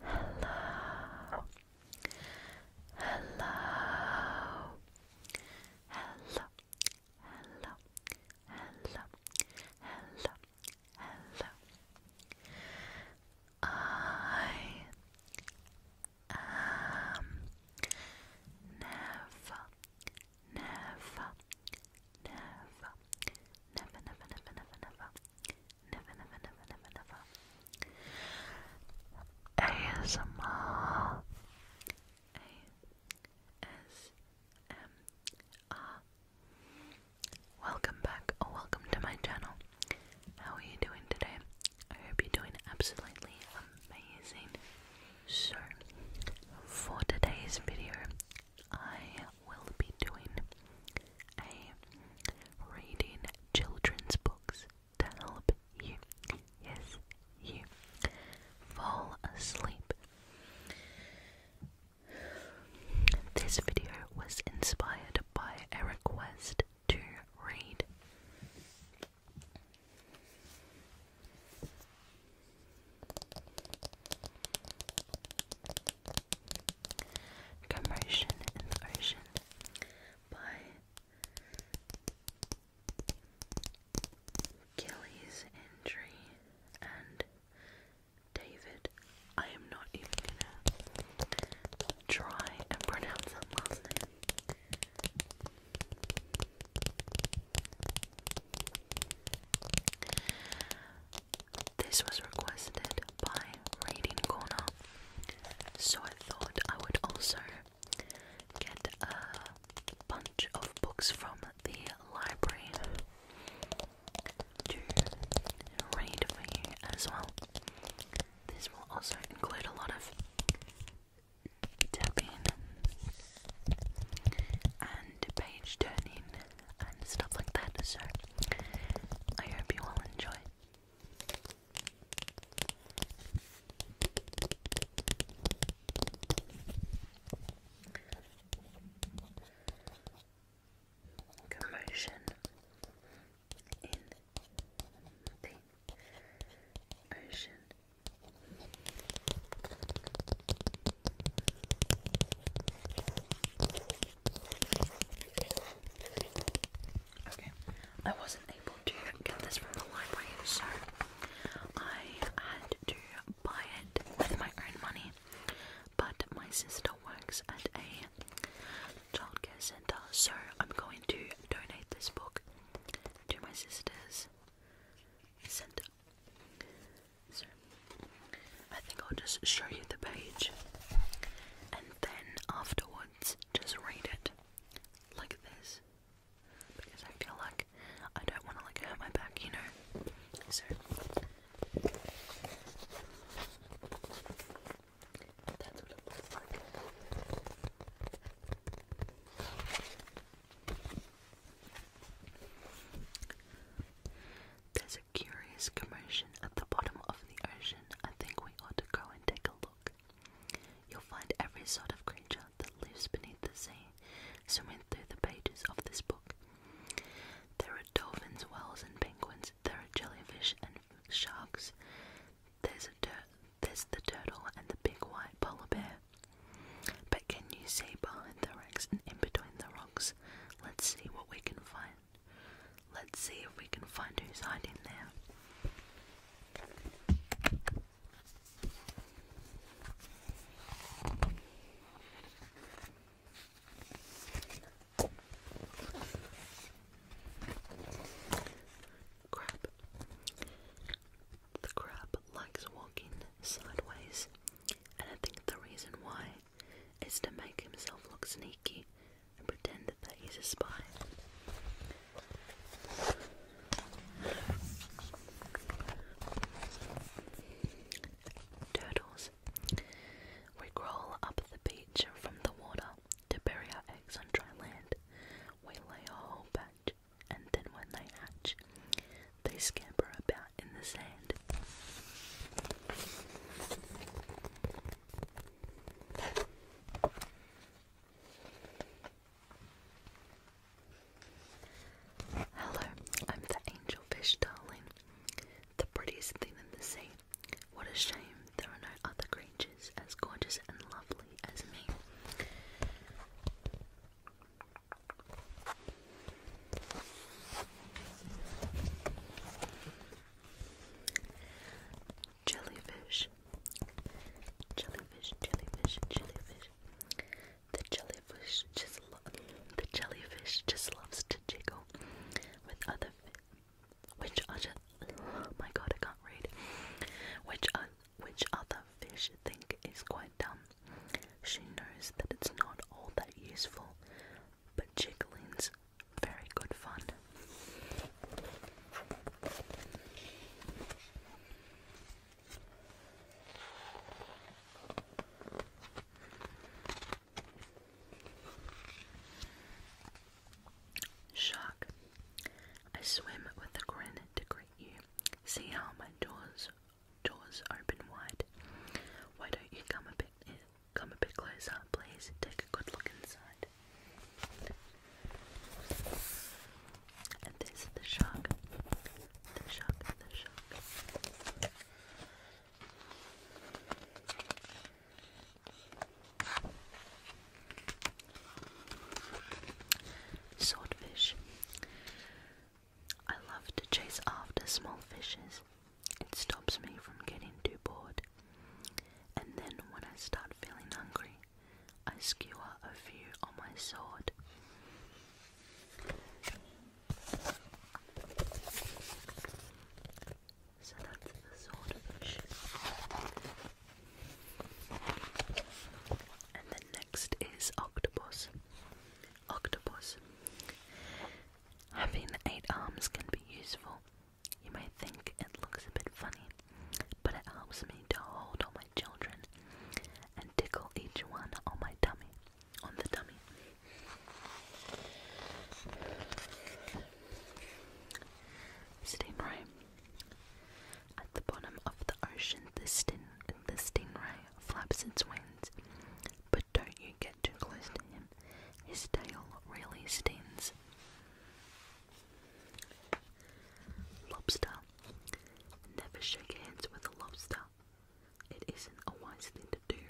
Hello. Hello. Hello. Hello. Hello. Hello. I am never never, never, never, never, never, never, never, never, never, never, never, never. ASMR. ASMR. Welcome back or welcome to my channel. How are you doing today? I hope you're doing absolutely amazing. So, for today's video, I will be doing a reading children's books to help you, yes, you fall asleep. This video was inspired by a request to read. Commotion in the Ocean by Gillies Injury and David. I am not even gonna pronounce that last name. This was requested by Reading Corner, so I thought I would also get a bunch of books from the library to read for you as well. This will also include a lot of tapping and and page turning and stuff like that. So I hope you all enjoy. Commotion in the ocean. Okay, I wasn't able to get this from the library, so I had to buy it with my own money. But my sister works at a childcare center, so I'm going to donate this book to my sister's center. So I think I'll just show you the page and then afterwards just read it like this because I feel like I don't want to like hurt my back, you know. So there's a curious commotion at the bottom of the ocean. I think we ought to go and take a look. You'll find every sort of creature that lives beneath the sea swimming through the pages of this book. There are dolphins, whales, and penguins. There are jellyfish and sharks. There's a the turtle and the big white polar bear. But can you see behind the rocks and in between the rocks? Let's see what we can find. Let's see if we can find who's hiding there. Crab. The crab likes walking sideways and I think the reason why is to make himself look sneaky and pretend that he's a spy. Turtles. We crawl up the beach from the water to bury our eggs on dry land. We lay a whole batch, and then when they hatch, they scamper about in the sand. Hello, I'm the angelfish, darling. The prettiest thing in the sea. What a shame there are no other creatures as gorgeous and lovely as me. Jellyfish. Jellyfish, jellyfish, jellyfish. The jellyfish just the jellyfish just loves to jiggle with other which other oh my god I can't read. Which which other fish think is quite lie She knows that it's not all that useful, but jiggling's very good fun. Shark, I swim with a grin to greet you. See how my jaws jaws open wide. Why don't you come a bit come a bit closer, please? Take a good look inside. And there's the shark. The shark, the shark. Swordfish. I love to chase after small fishes. It stops me from getting too bored. And then when I start feeling hungry, I skewer a few on my sword. So that's the swordfish. And then next is octopus octopus. Having eight arms can be useful. You may think it looks a bit funny, but it helps me to hold all my children and tickle each one on my tummy, on the tummy. Stingray. At the bottom of the ocean, the, sting, the stingray flaps its wings but don't you get too close to him. His tail really stings. Lobster. Never shake hands with a lobster. It isn't a wise thing to do.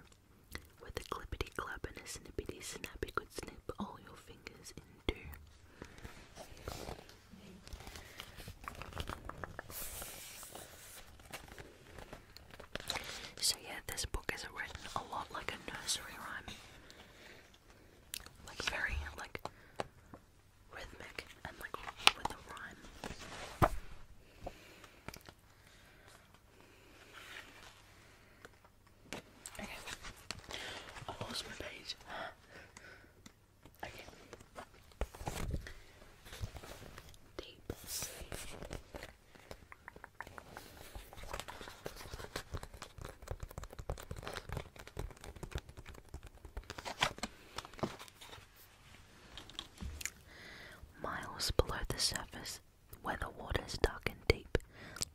With a clippity clap and a snippity snap, could snip all your fingers in two. So, yeah, this book is written a lot like a nursery rhyme. Like, very, like, rhythmic and, like, with a rhyme. Okay. I lost my page. Okay. Miles below the surface, where the water's dark and deep,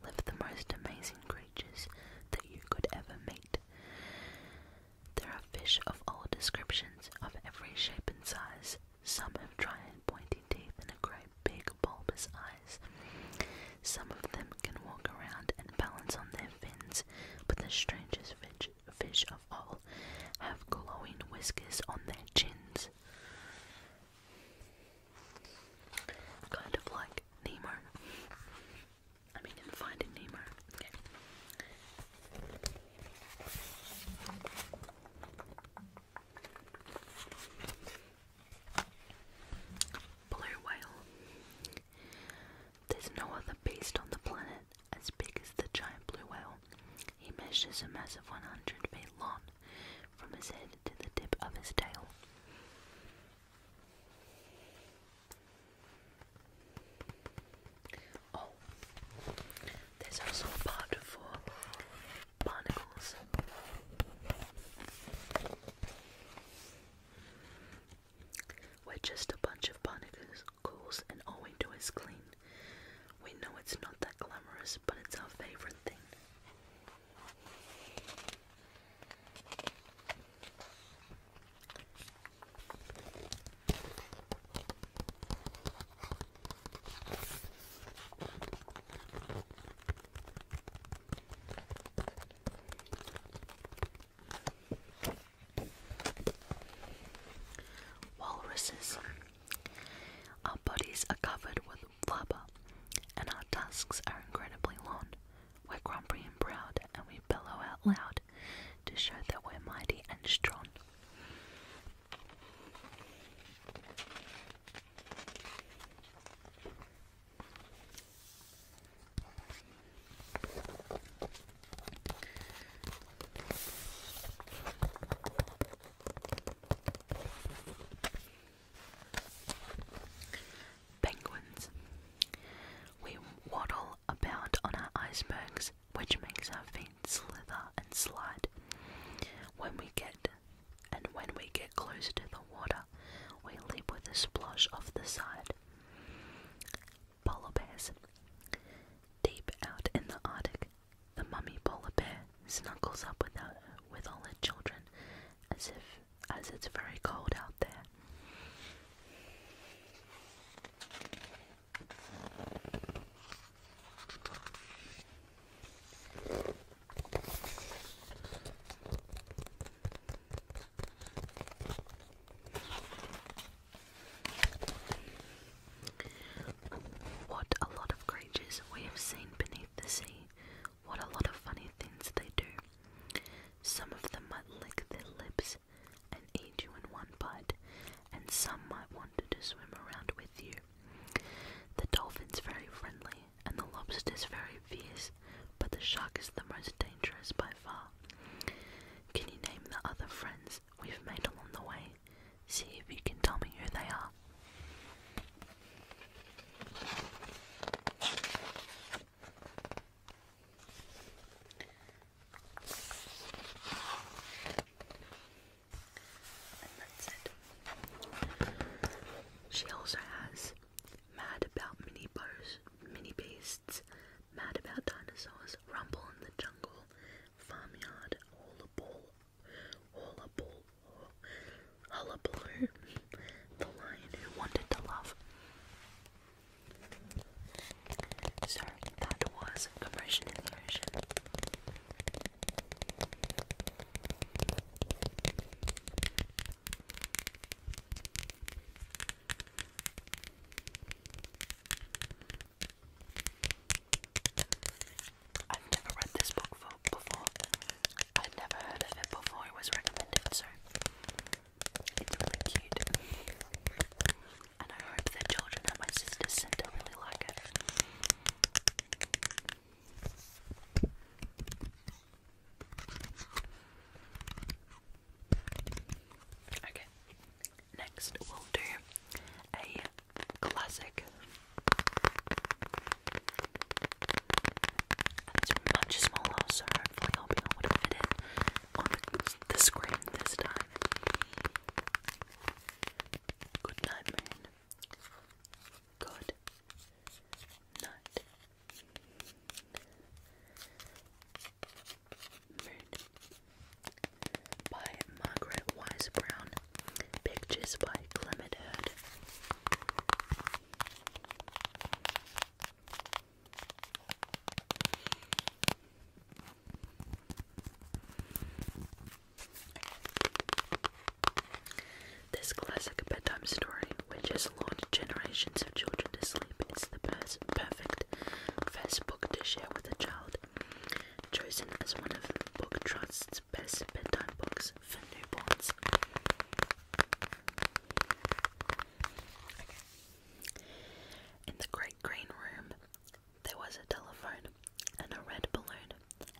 live the most amazing creatures that you could ever meet. There are fish of all descriptions, of every shape and size. Some have giant, and pointy teeth and great big bulbous eyes. Some of them can walk around and balance on their fins, but the strangest fish, fish of all have glowing whiskers on their chins. Kind of like Nemo. I mean, in Finding Nemo. Okay. Blue whale. There's no other beast on the planet as big as the giant blue whale. He measures a mass of 100 feet long from his head to the tip of his tail. Oh, there's also a part for barnacles. We're just a bunch of barnacles, and all we do is clean. We know it's not that glamorous, but it's our favorite thing. Walruses. Our bodies are covered with blubber, and our tusks are incredibly long. We're grumpy and proud, and we bellow out loud to show that we're mighty and strong. Penguins. We waddle about on our icebergs which makes our feet slither and slide. When we get and when we get closer to the water, we leap with a splosh off the side. Polar bears. Deep out in the Arctic, the mummy polar bear snuggles up with, our, with all her children as if as it's very cold out there. What a lot of creatures we have seen beneath the sea. What a lot of funny things they do. Some of them might lick their lips and eat you in one bite, and some might want to swim around with you. The dolphin's very friendly, and the lobster's very fierce, but the shark is the most dangerous by far. Can you name the other friends we've made along the way? See if you can tell me who they are. She also has Mad About Mini bears, Mini Beasts, Mad About Dinosaurs, Rumble in the Jungle, Farmyard, All a Ball, All a Ball, Hullabaloo, The Lion Who Wanted to Love. Sorry, that was compression in the I've never read this book before. I've never heard of it before it was recommended, so it's really cute and I hope the children at my sister's centre really like it. Okay, next we'll do a classic. And it's much smaller, so hopefully I'll be able to the, screen this time. Good night, moon. Good night, moon. By Margaret Wise Brown. Pictures by Clement Heard. This classic bedtime story, which has lured generations of children to sleep, is the perfect first book to share with a child. Chosen as one of Book Trust's best bedtime books for newborns. In the great green room, there was a telephone and a red balloon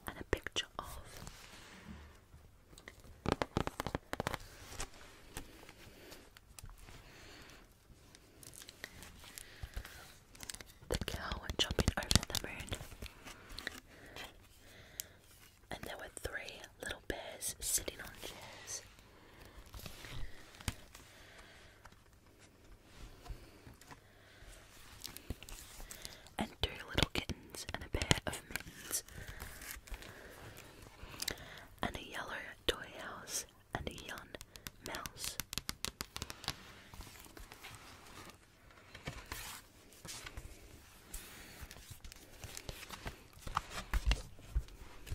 and a picture of. The cow jumping over the moon. And there were three little bears sitting on chairs and two little kittens and a pair of mittens and a yellow toy house and a young mouse.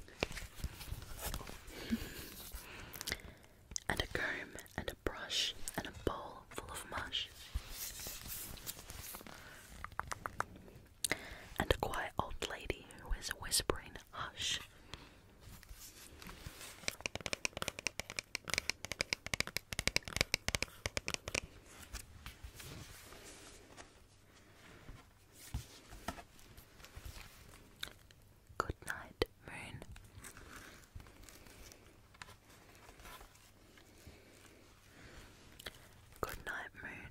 and a comb, and a brush, and a bowl full of mush. And a quiet old lady who is whispering, Hush. Good night, Moon. Good night, Moon.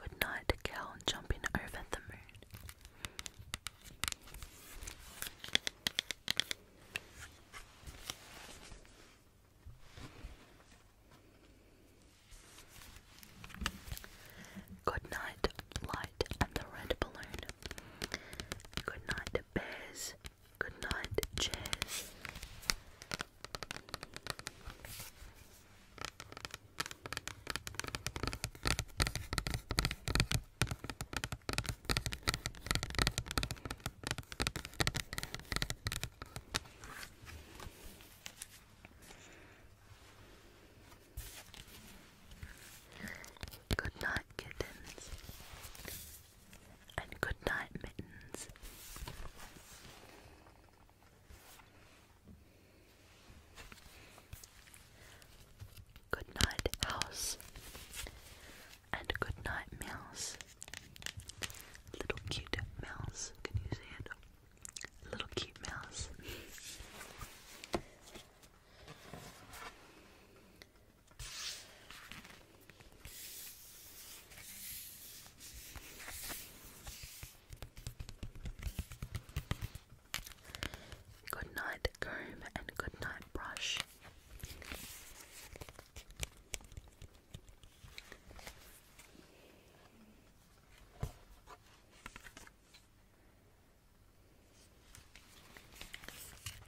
Good night, Cal, jumping over the moon. Good night, light and the red balloon. Good night, bears. Good night, chairs. Good night, kittens. And good night, mittens. Good night, house. And good night, mouse. Little cute mouse. Can you see it? Little cute mouse. Good night comb and good night brush.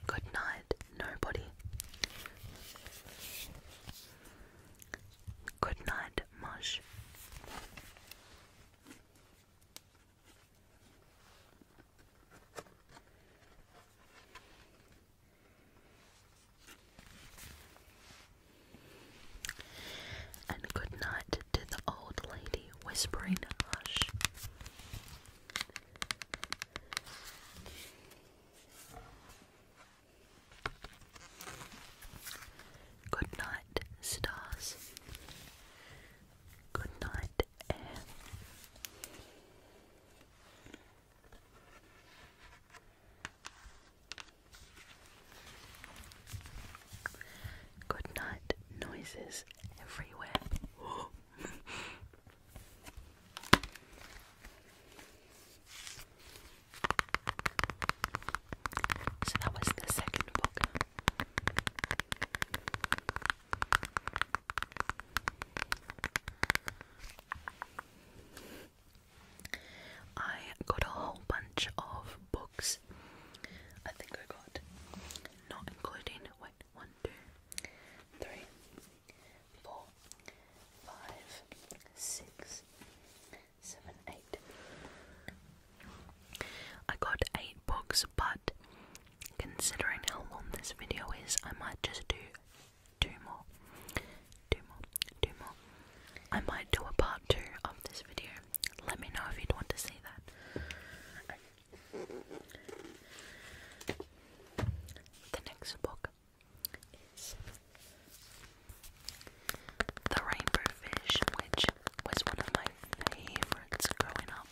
Good night, nobody. Good night, mush. And good night to the old lady, whispering hush. Good night, stars. Good night, air. Good night noises everywhere. so that was the second book. I got a whole bunch of books. I think I got, not including, wait, one, two, three, four, five, six, seven, eight. I got eight books, but considering how long this video is, I might just do two more, two more, two more. I might do a part two of this video. Let me know if you'd want to see that. The next book is The Rainbow Fish, which was one of my favourites growing up.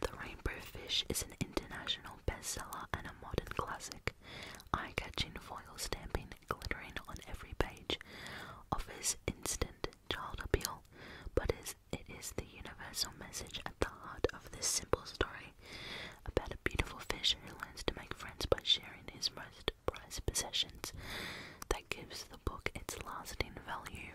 The Rainbow Fish is an international bestseller and a modern classic. Eye catching foil stamping glittering on every page offers instant child appeal, but it is the universal message at the heart of this simple story about a beautiful fish who learns to make friends by sharing his most prized possessions that gives the book its lasting value.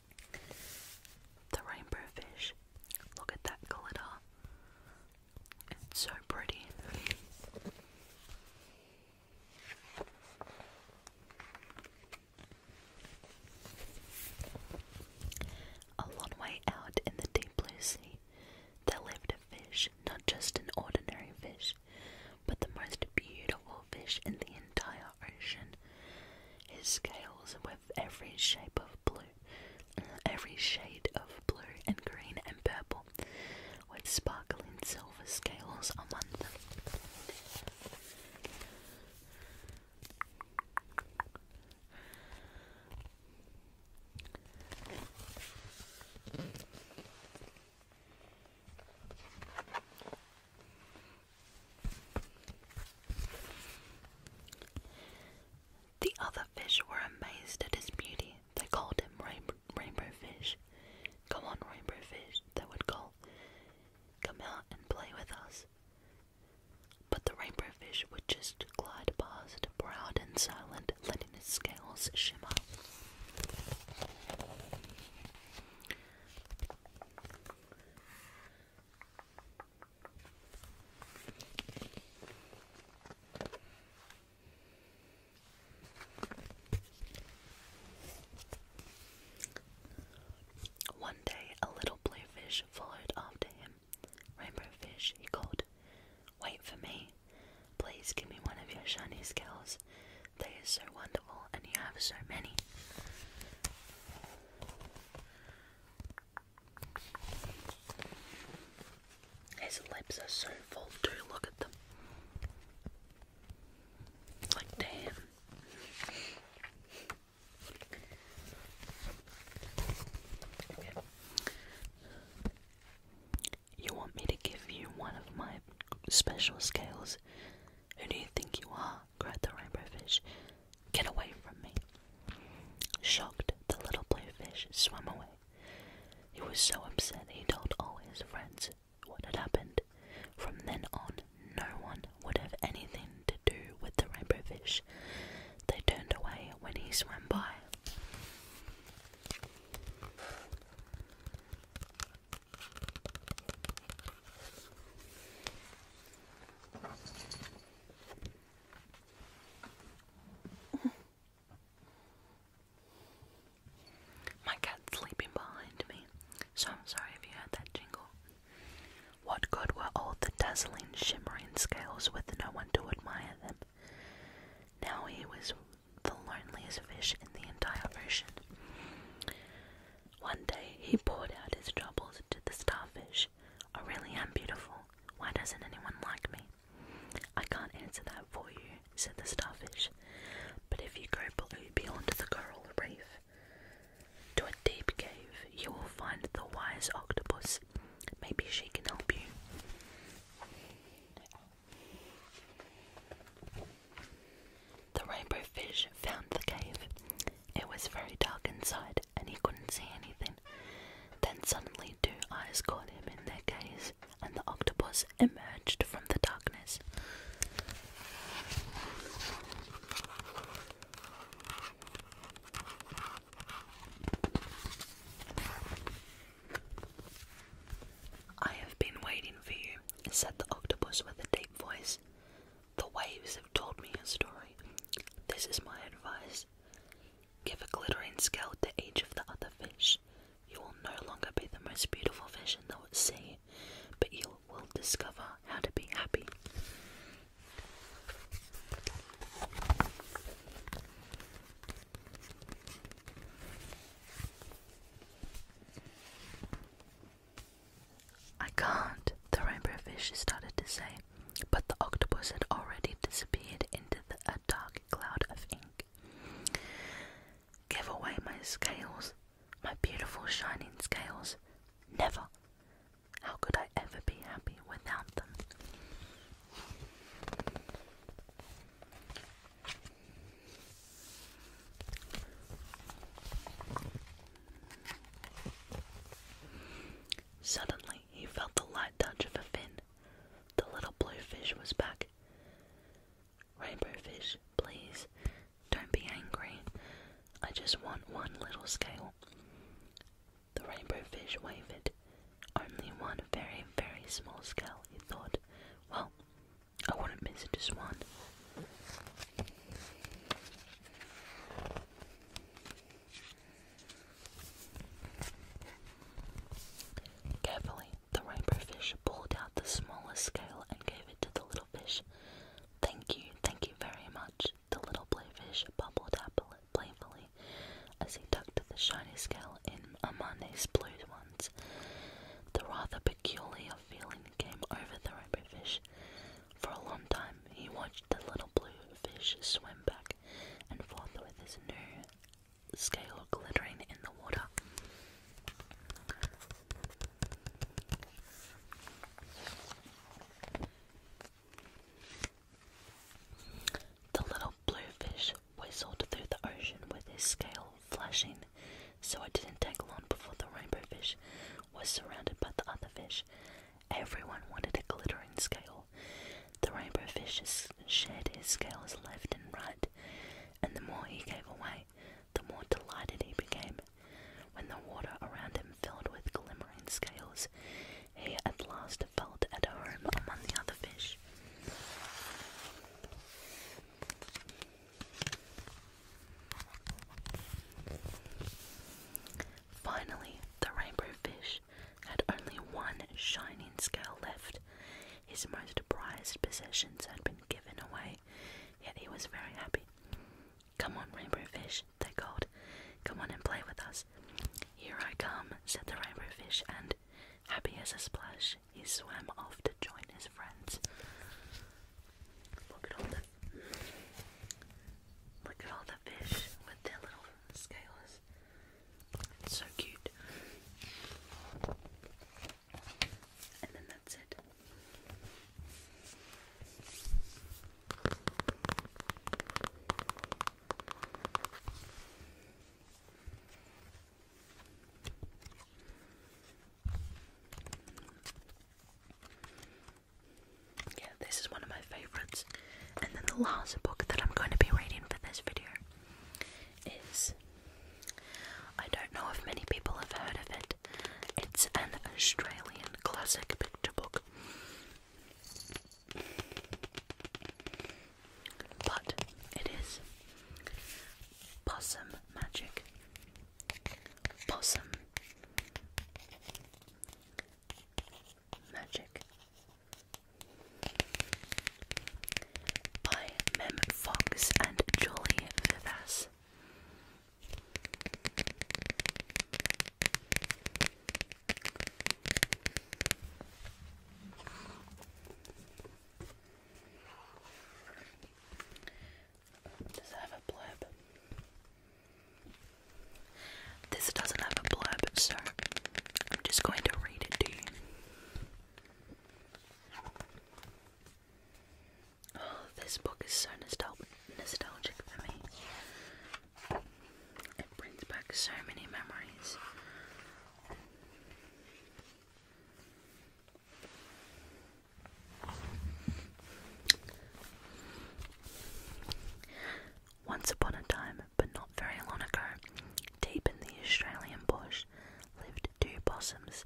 The rainbow fish. Look at that glitter. It's so pretty. A long way out in the deep blue sea, there lived a fish, not just an ordinary fish, but the most beautiful fish in the entire ocean. His scales with every shape of blue, every shade of blue and green and purple, with sparkling silver scales among them. The other fish were amazed at his beauty. They called him rainbow, Fish. Come on, Rainbow Fish, they would call. Come out and play with us. But the Rainbow Fish would just glide past, proud and silent, letting his scales shimmer. One day a little blue fish followed after him. Rainbow fish, he called. Wait for me. Please give me one of your shiny scales. They are so wonderful and you have so many. His lips are so full too, look at them. Like damn. You want me to give you one of my special scales? Who do you think you are? cried the rainbow fish. Get away from me. Shocked, the little blue fish swam away. He was so upset he told all his friends what had happened. From then on, no one would have anything to do with the rainbow fish. They turned away when he swam by. My cat's sleeping behind me, so I'm sorry if you heard that jingle. What good were all the dazzling, shimmering scales with no one to admire them? Now he was the loneliest fish in the entire ocean. One day he poured out his troubles to the starfish. I oh, really am beautiful. Why doesn't anyone like me? I can't answer that for you, said the starfish. But if you go below beyond the coral reef to a deep cave, you will find the wise octopus. Maybe she can help you. The rainbow fish found the cave. It was very dark inside, and he couldn't see anything. Then suddenly, two eyes caught him in their gaze, and the octopus emerged from the darkness. I have been waiting for you, said the octopus with a deep voice. The waves have told me a story. This is my advice. Give a glittering scale to each of the other fish. You will no longer be the most beautiful fish in the sea, but you will discover how to be happy. I can't, the rainbow fish started to say, but the octopus had already disappeared into a dark cloud of ink. Give away my scales, my beautiful shining scales. Never. How could I ever be happy without them? Suddenly, he felt the light touch of a fin. The little blue fish was back. Rainbow fish, please, don't be angry. I just want one little scale. The rainbow fish wavered. Only one very, very small scale, he thought. Well, I wouldn't miss just one. Carefully, the rainbow fish pulled out the smallest scale and gave it to the little fish. Thank you, thank you very much, the little blue fish bubbled up playfully as he tucked the shiny scale in Amane's blue ones. The rather peculiar feeling came over the rainbow fish for a long time, he watched the little blue fish swim back and forth with his new scale glittering in the water. The little blue fish whistled through the ocean with his scale flashing so it didn't take long before the rainbow fish was surrounded by the other fish. Everyone wanted a glittering scale. The rainbow fish shared his scales left and right, and the more he gave away, the more delighted he became. When the water around him filled with glimmering scales, he at last felt at home among the other fish. Finally, the rainbow fish had only one shining scale left. His most prized possessions had been given away, yet he was very happy. Come on, rainbow fish, they called. Come on and play with us. Here I come, said the rainbow fish, and, happy as a splash, he swam off to join his friends. Look at all the fish with their little scales. It's so cute. And then that's it. Yeah, this is one of my favorites. And then the last book that I'm going to be reading for this video is. I don't know if many people have heard of it. It's an Australian classic picture book. But it is Possum Magic Possum. Magic. By Mem Fox and Julie Vivas. Does it have a blurb? This doesn't have a blurb, so I'm just going to read it to you. Oh, this book is so nostalgic for me. It brings back so many memories. Once upon a time, but not very long ago, deep in the Australian bush lived two possums.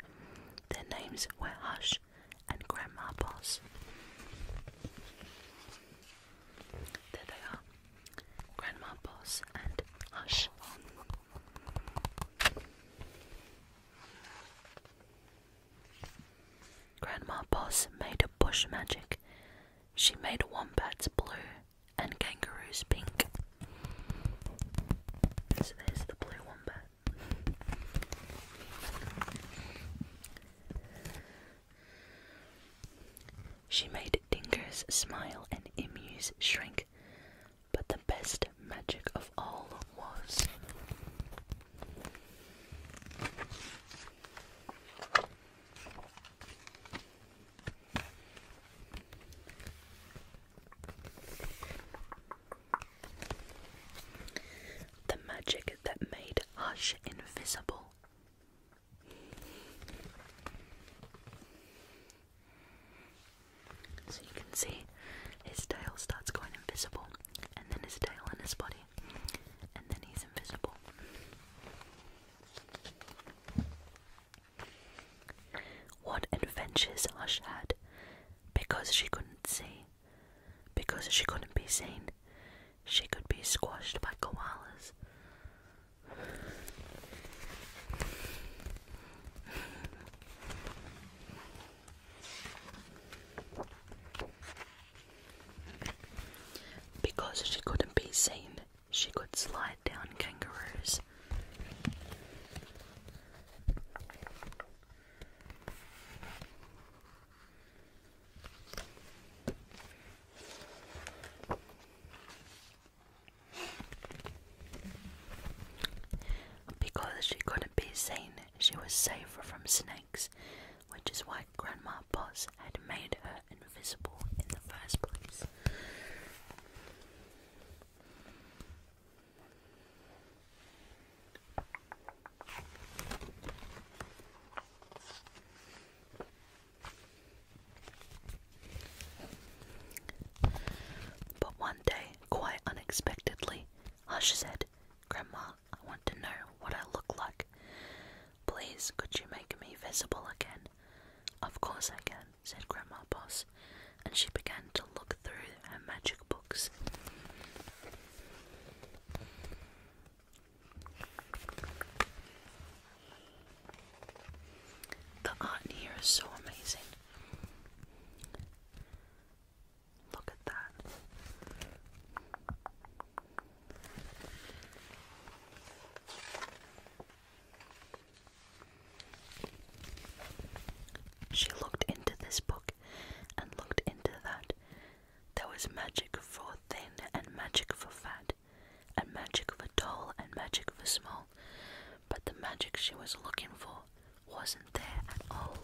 Their names were Hush and Grandma Poss. There they are Grandma Poss and Hush. Grandma Boss made a bush magic. She made wombats blue and kangaroos pink. So there's the blue wombat. She made dingoes smile and emus shrink, but the best magic of all was. The magic that made Hush invisible. So you can see his tail starts going invisible, and then his tail and his body, and then he's invisible. What adventures Hush had because she couldn't see, because she couldn't be seen, she could be squashed by koalas. Because she couldn't be seen, she could slide down kangaroos. Because she couldn't be seen, she was safer from snakes, which is why Grandma Boss had made her invisible in the first place. But one day, quite unexpectedly, Hush said, Grandma, I want to know what I look like. Please, could you make me visible again? Of course I can, said Grandma Boss, and she began to look through her magic books. The art here is so amazing. Look at that. She looked into this book and looked into that. There was magic for thin and magic for fat, and magic for tall and magic for small. But the magic she was looking for wasn't there at all.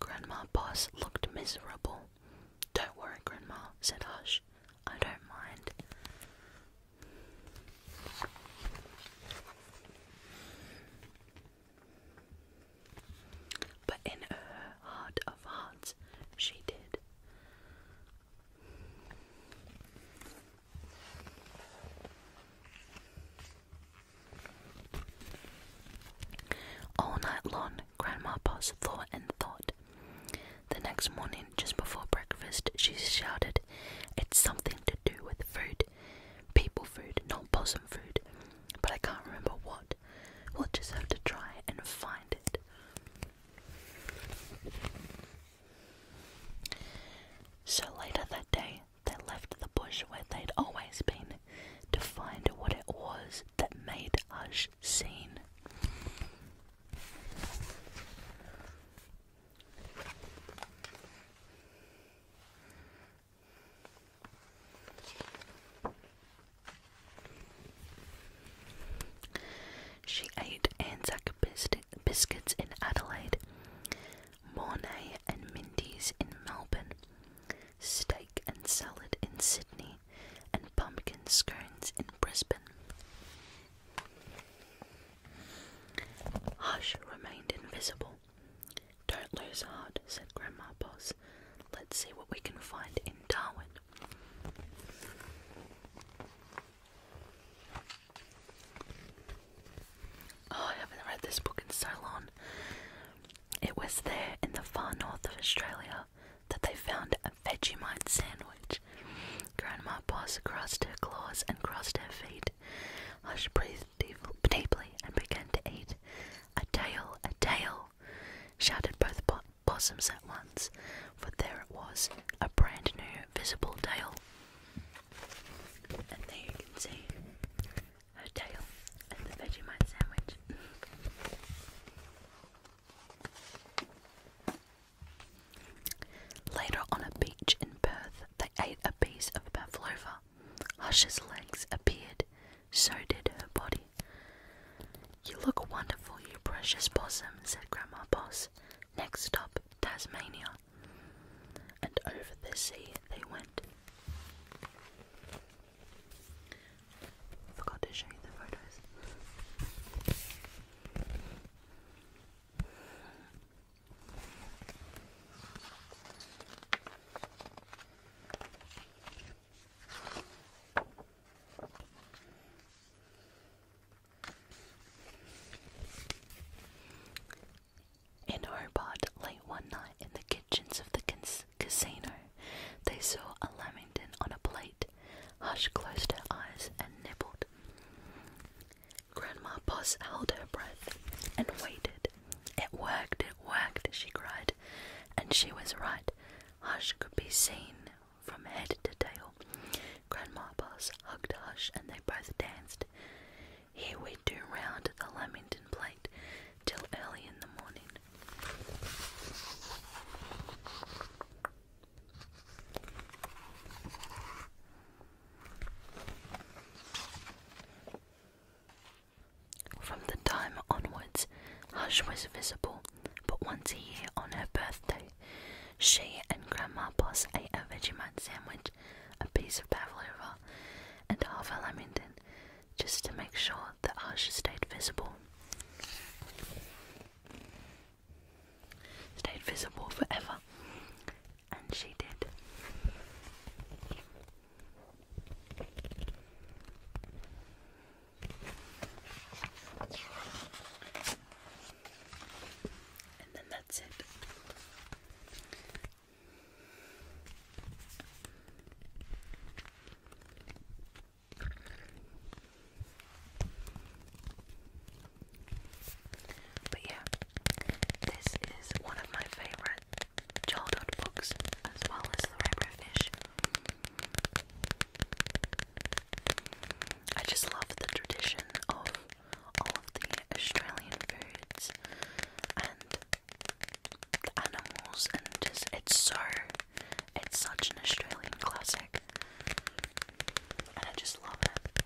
Grandma Boss looked miserable. Don't worry, Grandma, said Hush. I don't mind. But in her heart of hearts, she did. All night long, Grandma Pos thought and thought. The next morning, just before breakfast, she shouted, It's something to do with food. People food, not possum food but I can't remember what. We'll just have to try and find it. So later that day, they left the bush where they'd always been to find what it was that made Hush seen. She ate Anzac biscuits in Adelaide, Mornay and Mindy's in Melbourne, steak and salad in Sydney, and pumpkin scones in Brisbane. Hush remained invisible. Don't lose heart, said Grandma Boss. Let's see what we can find in Darwin. Oh, I haven't read this book in so long. It was there in the far north of Australia that they found a Vegemite sandwich. Grandma Boss crossed her claws and crossed her feet. Hush breathed deeply and began to eat. A tail, a tail! shouted both po possums at once, for there it was, a brand new visible tail. And there you can see a tail and the Vegemite sandwich. Later on a beach in Perth, they ate a piece of pavlova, Hush's legs appeared, so did her body. You look wonderful, you precious possum, said Grandma Pos. Next stop, Tasmania. And over the sea they went. Forgot to show you the photos. In Hobart, late one night in the kitchens of the casino, they saw a lamington on a plate. Hush closed her eyes and nibbled. Grandma Puss held her breath and waited. It worked, it worked, she cried, and she was right. Hush could be seen from head to tail. Grandma Boss hugged Hush, and they both danced. Here we do round the Lamington plate till early in the morning. From the time onwards, Hush was visible but once a year on her birthday. She and Grandma Boss ate a Vegemite sandwich, a piece of pavlova, and half a lamington, just to make sure that Hush stayed visible. Stayed visible forever. And she did. And then that's it. But yeah, this is one of my favorites childhood books as well as The Rainbow Fish. I just love the tradition of all of the Australian foods and the animals and just it's so it's such an Australian classic I just love it.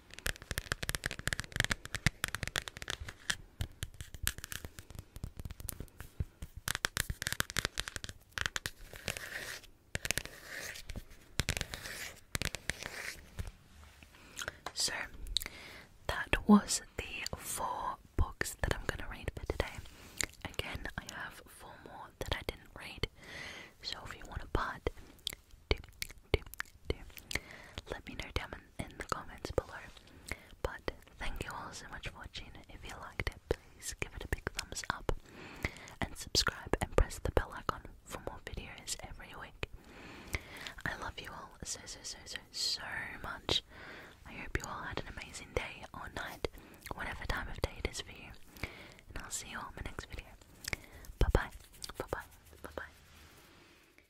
So that was the four books that I'm going to read for today. Again, I have four more that I didn't read. So if you want a part, let me know down in the comments below. But thank you all so much for watching. If you liked it, please give it a big thumbs up and subscribe and press the bell icon for more videos every week. I love you all so so so so so much. I hope you all had an amazing day or night, whatever time of day it is for you. And I'll see you all in my next video. Bye bye. Bye bye. Bye bye.